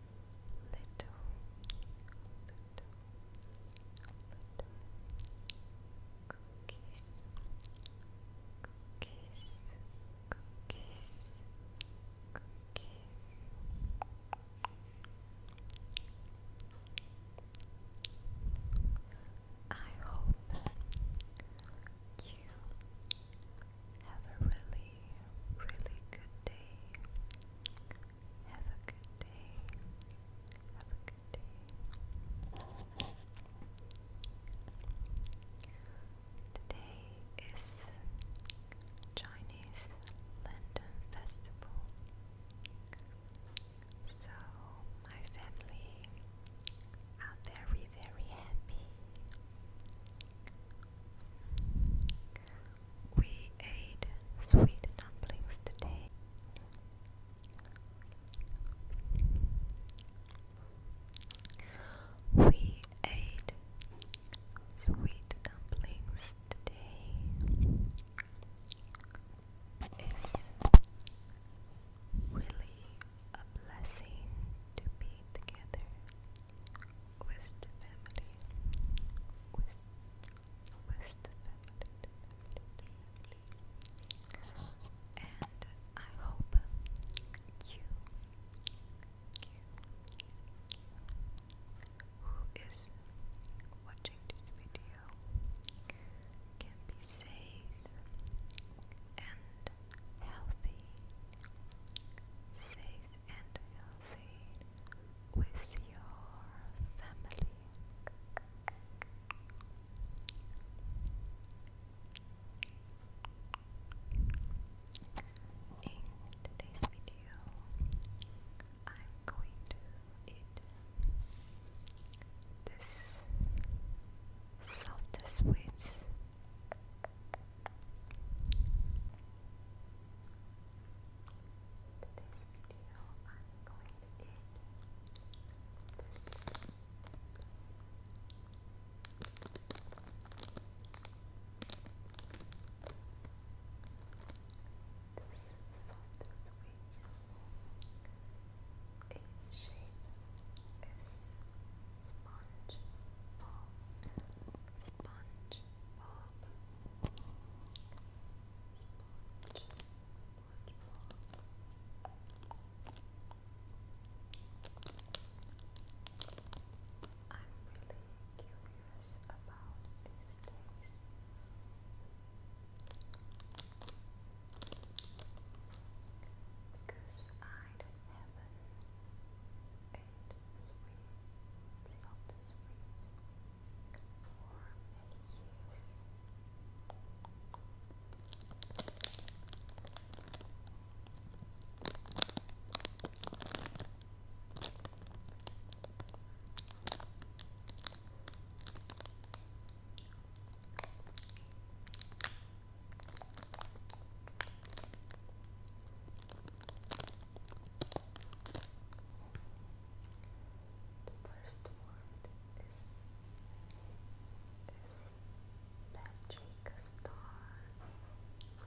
little, little cookies, cookies, cookies, cookies. I hope you have a really, really good day. Have a good day. Have a good day. Today is Chinese London Festival. So my family are very, very happy. We ate sweet dumplings today. We ate sweet dumplings today. It's really a blessing to be together. West family. West, family, And I hope you, you, who is watching this video, can be safe and healthy, safe and healthy with your family. In today's video, I'm going to eat this soft sweets today's video, i going to eat This soft sweet. Its shape is sponge ball. Sponge Bob. I'm really curious about his taste. Because I don't have an sweet, soft sweet for many years. Thank the first word is, is Magic Star. Magic Star.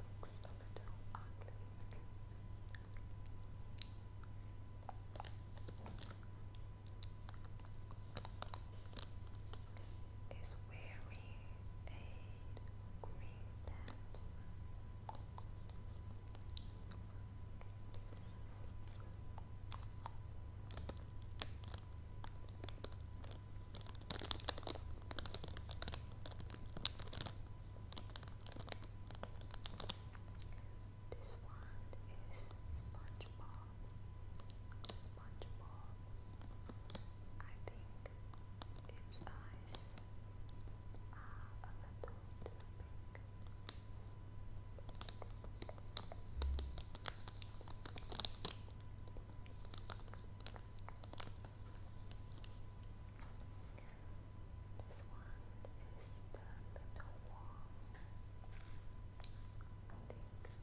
It looks a little ugly is wearing a green pants. This one is SpongeBob. SpongeBob. I think its eyes are a little too This one is the little wall. I think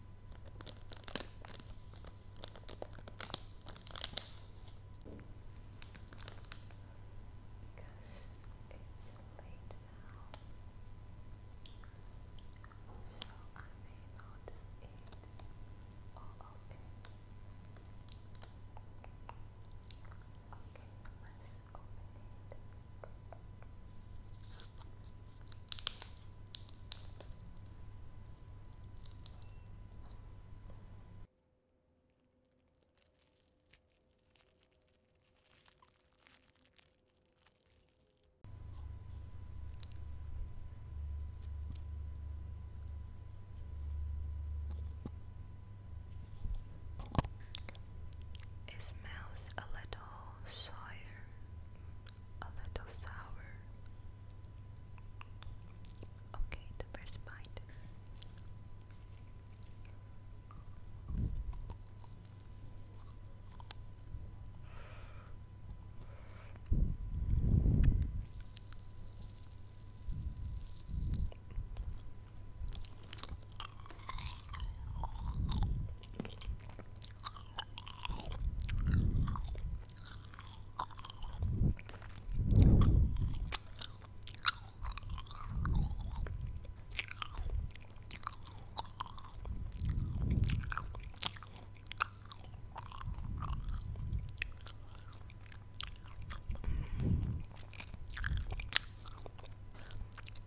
because it's late now, so I may not eat all of it. Okay, let it smells a little sour, a little sour. Okay, the first bite.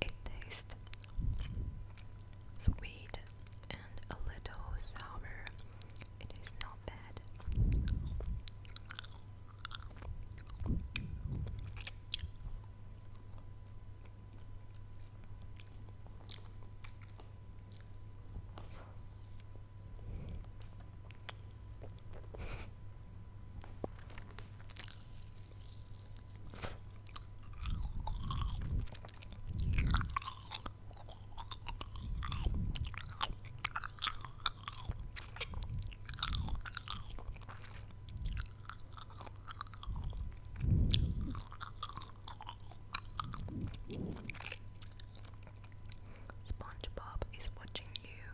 It tastes sweet and a little sour. It is not bad. SpongeBob is watching you.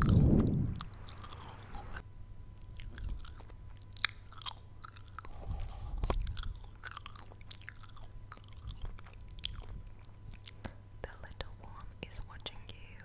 The little one is watching you.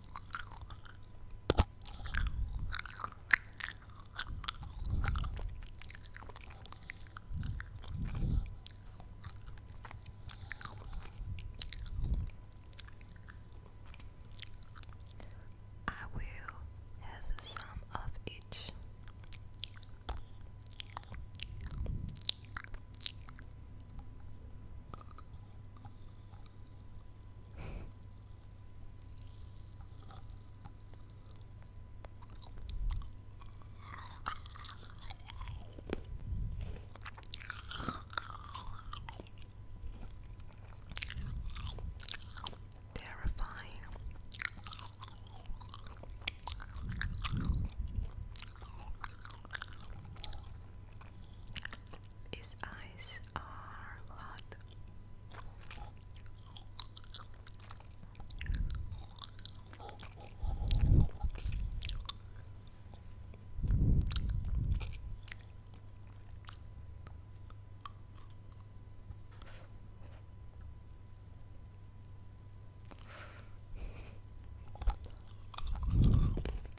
I will have some of each. Terrifying. His eyes are hot.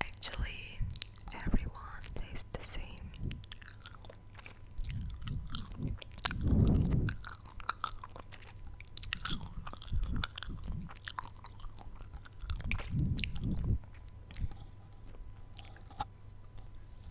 Actually, everyone tastes the same.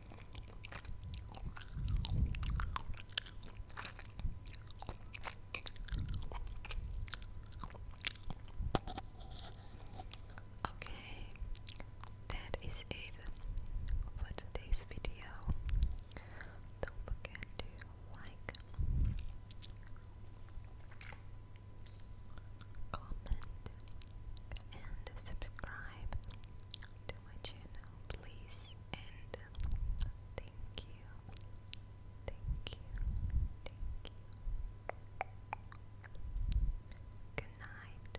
Okay, that is it for today's video. Don't forget to like, comment, and subscribe to my channel, please, and thank you, thank you, thank you. Good night.